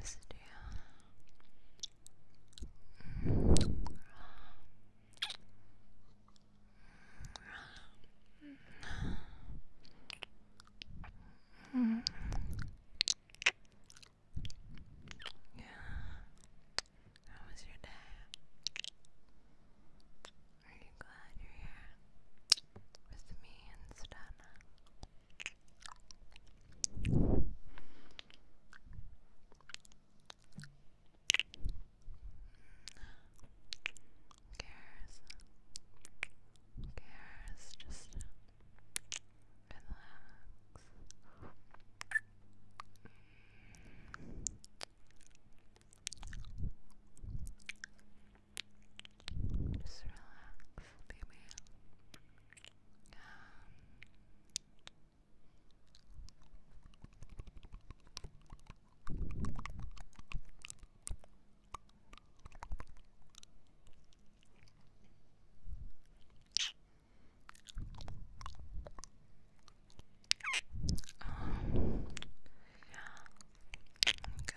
missed you. Yeah. How was your day? Are you glad you're here with me instead? cares? Who cares? Just relax. Just relax, baby. Um, um, yeah, good.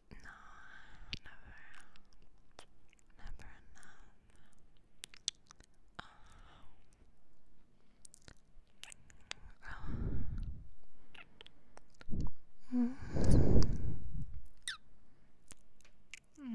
No, never, never enough. Oh. Oh. Mm. Mm. Oh.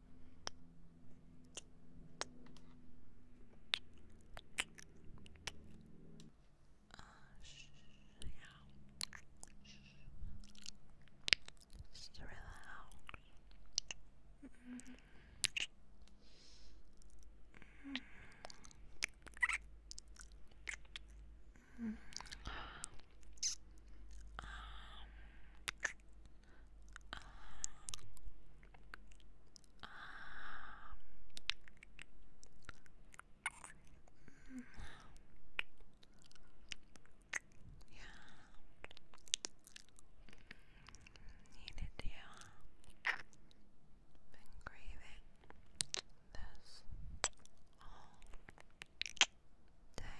Just relax. Mm -hmm. Mm -hmm. Um, um, yeah. Needed to. Been craving this all day.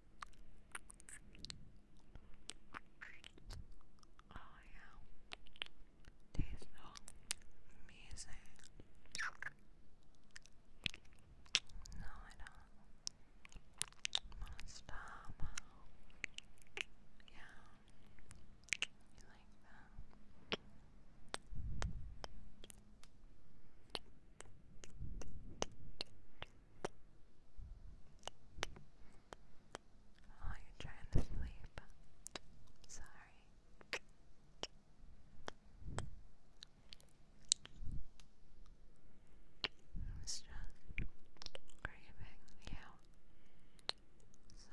Oh yeah, tastes amazing. No, I don't want Yeah, you like that? Oh, you're trying to sleep. Sorry. It's just craving you. So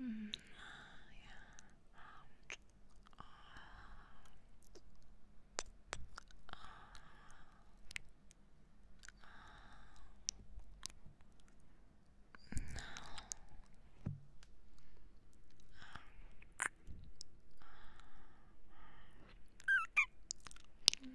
Mm, yeah. Um, uh, uh, uh, no. Mm.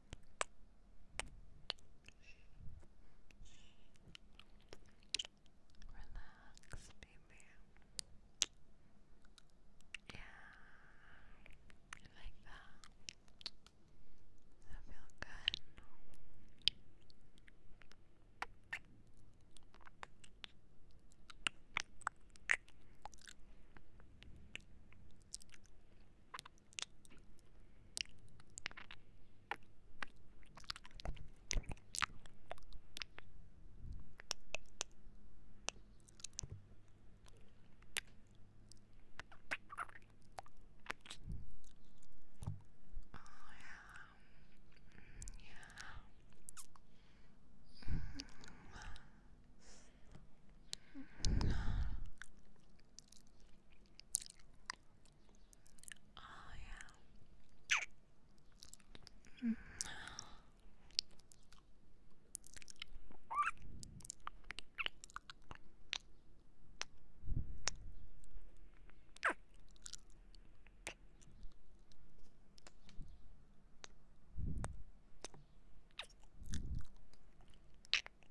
Relax, baby. Yeah, like that. That feel good. Oh, yeah. Mm. Oh, yeah. Mm.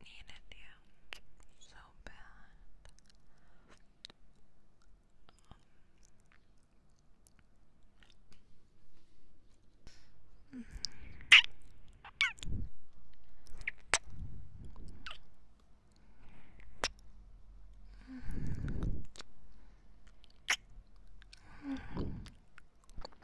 needed you so bad. Mm.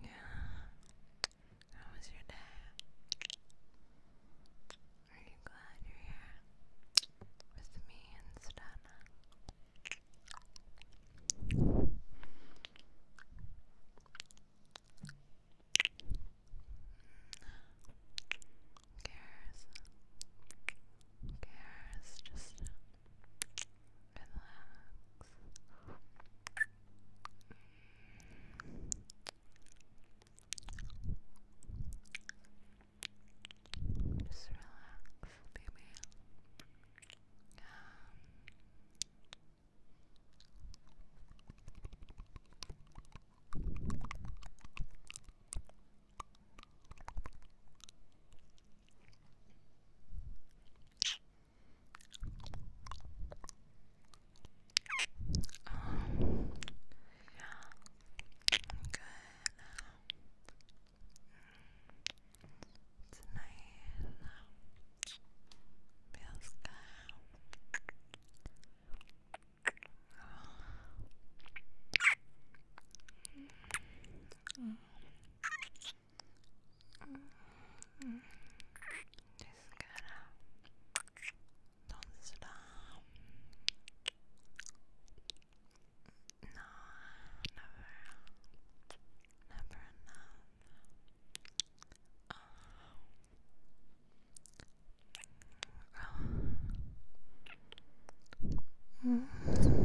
Yeah. How was your day? Are you glad you're here with me instead? Who mm. cares? Who cares? Just relax. Just relax, baby. Um, um, yeah, good. It's nice. Feels good. Oh. Just gonna don't stop. No, never, never enough. Oh. Oh.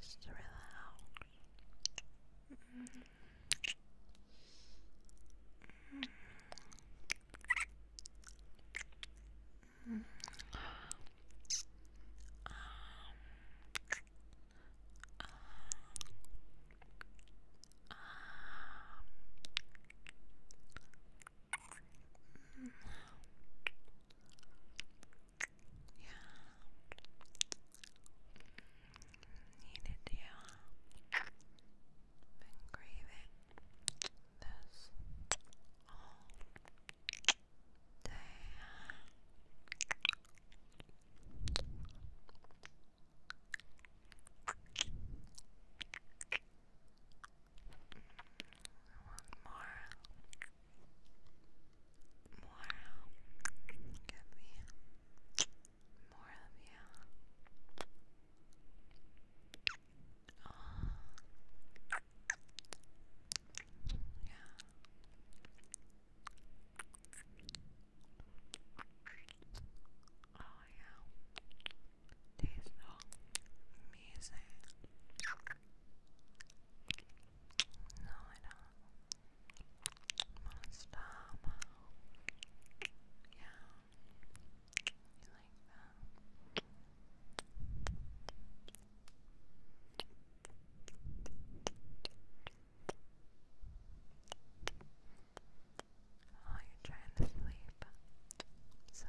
Just to relax. Yeah. Needed you. Been craving this all day. One more. More. Give me more of you. Oh. Yeah. Oh yeah. These look amazing. No, I don't. Monster Yeah. You like that? Oh, you're trying to sleep. Sorry.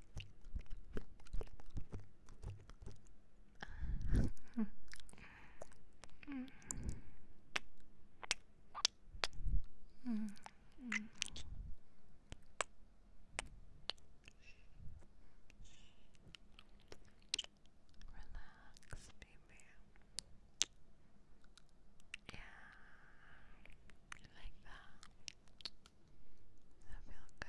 Relax, baby. Yeah, like that. I feel good. I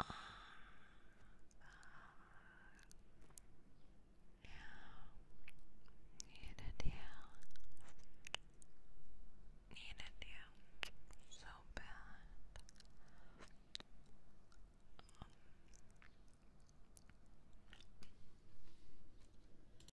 Uh, you. Need it, So bad. Um.